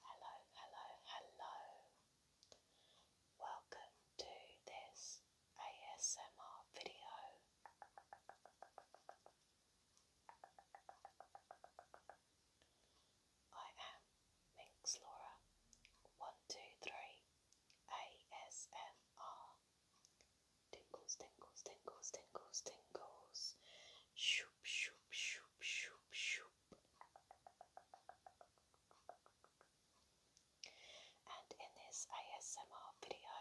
Hello, hello, hello, hello. Welcome to this ASMR video. I am Minx Laura, one two three, ASMR. Tingles, tingles, tingles, tingles, tingles. Shoop, shoop, shoop, shoop, shoop. And in this ASMR video,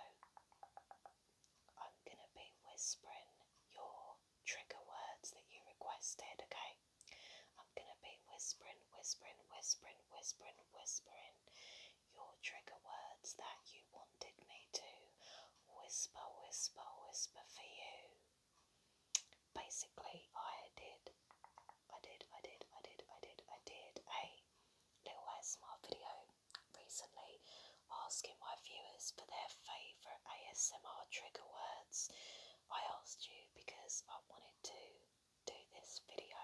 I'm gonna be whispering your trigger words that you requested, okay? I'm gonna be whispering, whispering, whispering, whispering, whispering your trigger words that you wanted me to whisper, whisper, whisper for you. Basically, I did, I did, I did, I did, I did, I did a little ASMR video recently asking my viewers for their favourite ASMR trigger words I asked you because I wanted to do this video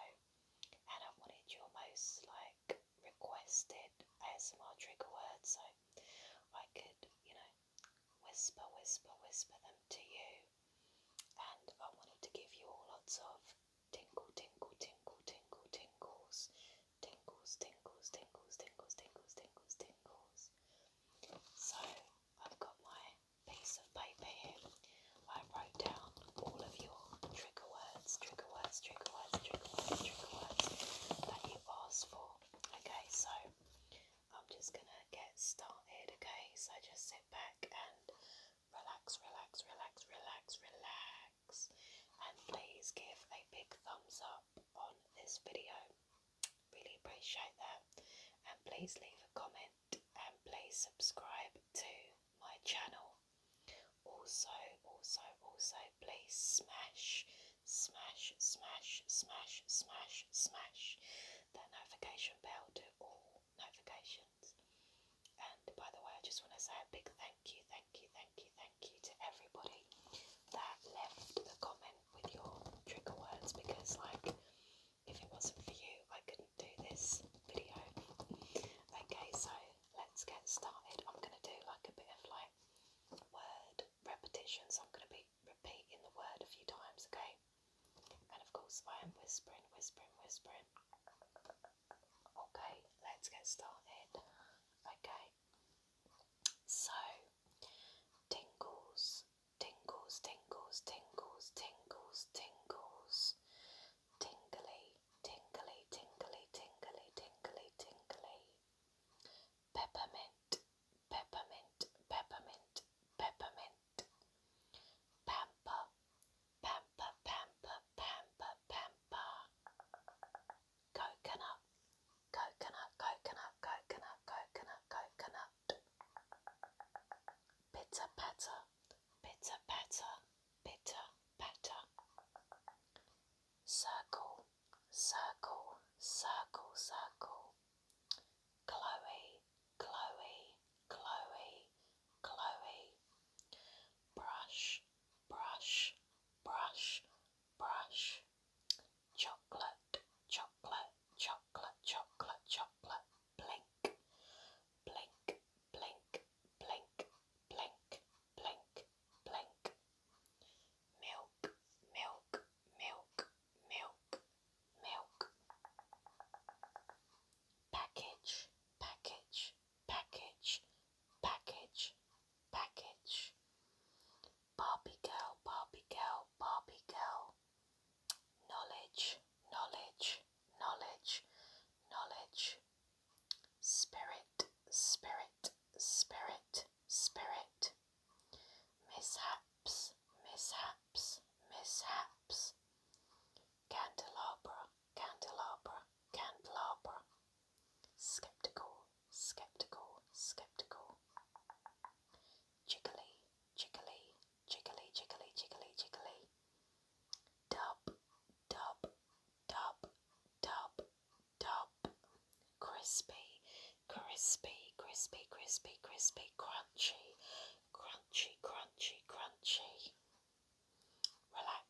and I wanted your most like requested ASMR trigger words so I could, you know, whisper, whisper, whisper them to you. And I wanted to give you all lots of tingle, tingle, tingle, tingle, tingles, tingles, tingles, tingles, tingles, tingles, tingles, tingles. So I've got my piece of paper here. I wrote down all of your trigger words, trigger words, trigger words, trigger words, trigger words that you asked for. Okay, so I'm just gonna get started. Okay, so just sit back and relax, relax, relax, relax, relax, and please give a big thumbs up on this video really appreciate that. And please leave a comment and please subscribe to my channel. Also, also, also, please smash, smash, smash, smash, smash, smash that notification bell to all notifications. And by the way, I just want to say a big thank you, thank you, thank you, thank thank you to everybody that left a comment with your trigger words because, like, if it wasn't for you, I couldn't do this video. Okay, so let's get started. I'm gonna do like a bit of like word repetition, so I'm gonna be repeating the word a few times, okay? And of course, I am whispering, whispering, whispering. Okay, let's get started. Okay, so, tingles, tingles, tingles, tingles, tingles, tingles, tingly, tingly, tingly, tingly, tingly, tingly, peppermint, peppermint, peppermint, peppermint, pamper, pamper, pamper, pamper, pamper coconut, coconut, coconut, coconut, coconut, coconut. Bitter patter, bitter patter, bitter Circle, circle, circle, circle. Chloe, Chloe, Chloe, Chloe. Brush, brush, brush, brush, chocolate, chocolate, chocolate, chocolate, chocolate, blink, blink, blink, blink, blink, blink, blink, milk, milk, milk, milk, milk, package, package, package, package, package. Barbie girl, Barbie girl, Barbie girl. Knowledge, knowledge, knowledge, knowledge. Spirit, spirit, spirit, spirit. Mishaps, mishaps, mishaps. Candelabra, candelabra, candelabra, skeptical, skeptical, skeptical, jiggly, jiggly, jiggly, jiggly, jiggly, jiggly, dub, dub, dub, dub, dub, crispy, crispy, crispy, crispy, crispy, crunchy, crunchy, crunchy, crunchy, relax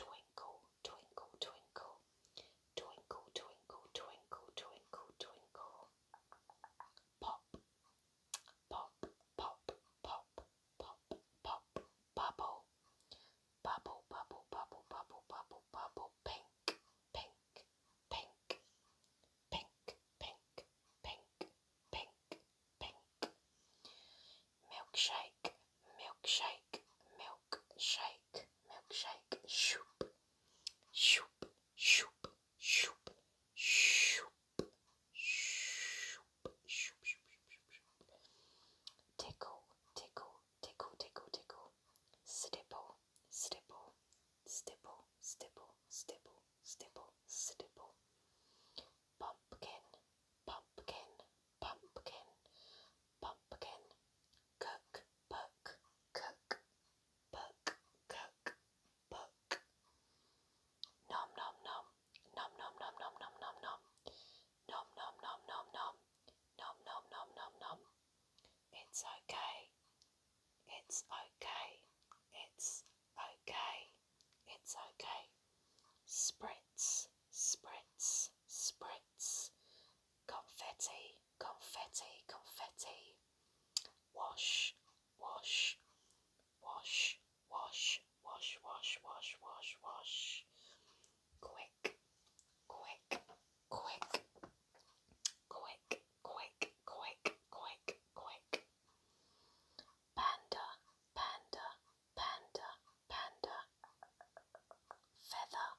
Twinkle, twinkle, twinkle, twinkle, twinkle, twinkle, twinkle, twinkle. Pop, pop, pop, pop, pop, pop, bubble, bubble, bubble, bubble, bubble, bubble, bubble, pink, pink, pink, pink, pink, pink, pink, pink. Milkshake, milkshake, milkshake, milkshake. Shoop, shoop, shoop, shoop, shoop, shoop, shoop, shoop, shoop, shoop. Tickle, tickle, tickle, tickle, tickle. Stipple, stipple, stipple, stipple, stipple, stipple, stipple pumpkin, pumpkin, pumpkin, pumpkin, cook, book, cook, book, cook, book. Nom nom nom, nom nom nom nom nom nom nom, nom nom nom nom nom, nom nom nom nom nom. It's okay. It's okay. It's okay. It's okay. Spritz, spritz, spritz. Confetti, confetti, confetti. Wash, wash, wash, wash, wash, wash, wash, wash, wash. Quick, quick, quick. Quick, quick, quick, quick, quick panda, panda, panda, panda. Feather,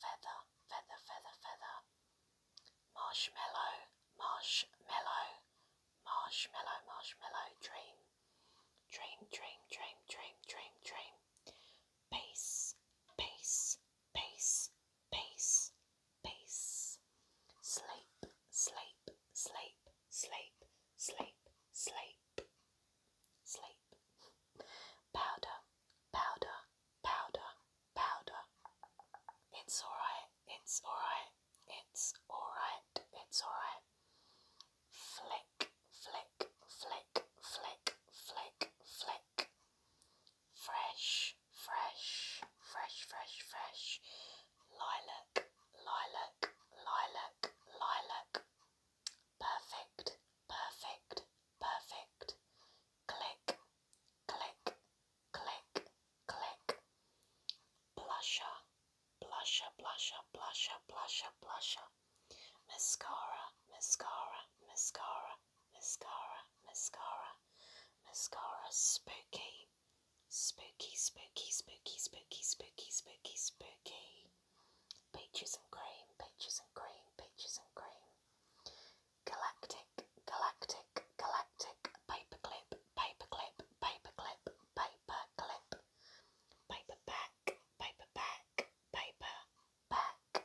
feather, feather, feather, feather. Marshmallow, marshmallow, marshmallow, marshmallow. Dream, dream, dream, dream, dream, dream, dream. Pace, pace, pace, pace peace. Sleep, sleep, sleep, sleep, sleep, sleep, sleep. Powder, powder, powder, powder. It's alright, it's alright, it's alright, it's alright. Flick, flick, flick, flick, flick, flick. Fresh, fresh, fresh, fresh, fresh. Lilac, lilac, lilac, lilac. Perfect, perfect, perfect. Click, click, click, click. Blusher, blusher, blusher, blusher, blusher, blusher. Mascara, mascara, mascara, mascara, mascara mascara spooky. Spooky, spooky, spooky, spooky, spooky, spooky, spooky. Peaches and cream, peaches and cream, peaches and cream. Galactic, galactic, galactic. Paperclip, paperclip, paperclip, paperclip. Paperback, paperback, paperback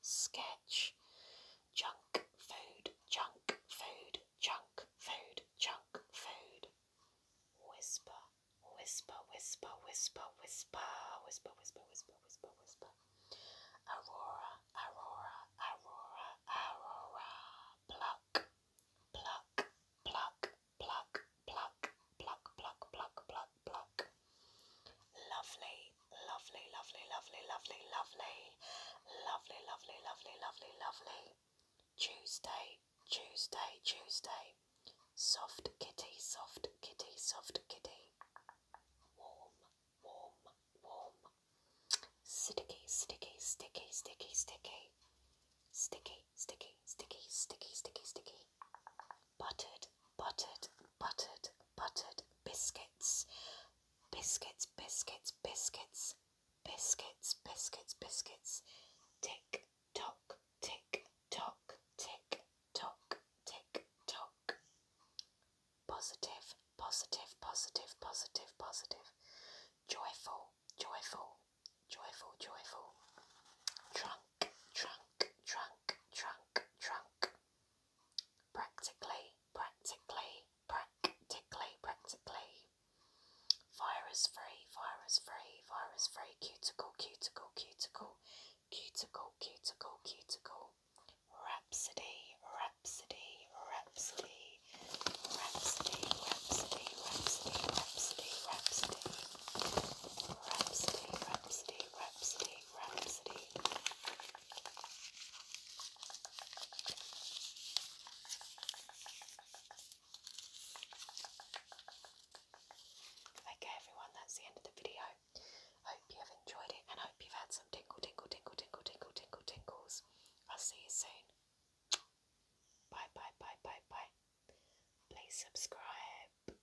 sketch. Junk food, junk food, junk food, junk food. Whisper, whisper, whisper, whisper, whisper, whisper, whisper, whisper, whisper, whisper. Aurora, aurora, aurora, aurora. Pluck, pluck, pluck, pluck, pluck, pluck, pluck, pluck, pluck, pluck. Lovely, Lovely, lovely, lovely, lovely, lovely, lovely, lovely, lovely, lovely, lovely. Tuesday, Tuesday, Tuesday. Soft kitty, soft kitty, soft kitty. Warm, warm, warm. Sticky, sticky, sticky, sticky, sticky. Sticky, sticky, sticky, sticky, sticky, sticky. Buttered, buttered, buttered, buttered biscuits. Biscuits, biscuits, biscuits, biscuits, biscuits, biscuits. Tick tock, tick tock, tick tock, tick tock. Positive, positive, positive, positive, positive. Joyful, joyful, joyful, joyful. Trunk, trunk, trunk, trunk, trunk practically, practically, practically, practically. Virus free, virus free, virus free, cuticle, cuticle, cuticle, cuticle, cuticle, cuticle. Rhapsody, rhapsody, rhapsody, rhapsody, rhapsody, rhapsody, rhapsody, rhapsody, rhapsody, rhapsody, rhapsody, Bohemian Okay, everyone, that's the end of the video. Hope you have enjoyed it and hope you've had some tingle, tingle, tingle, tingle, tingle, tingle, tingles. I'll see you soon. Bye, bye, bye, bye, bye. Please subscribe.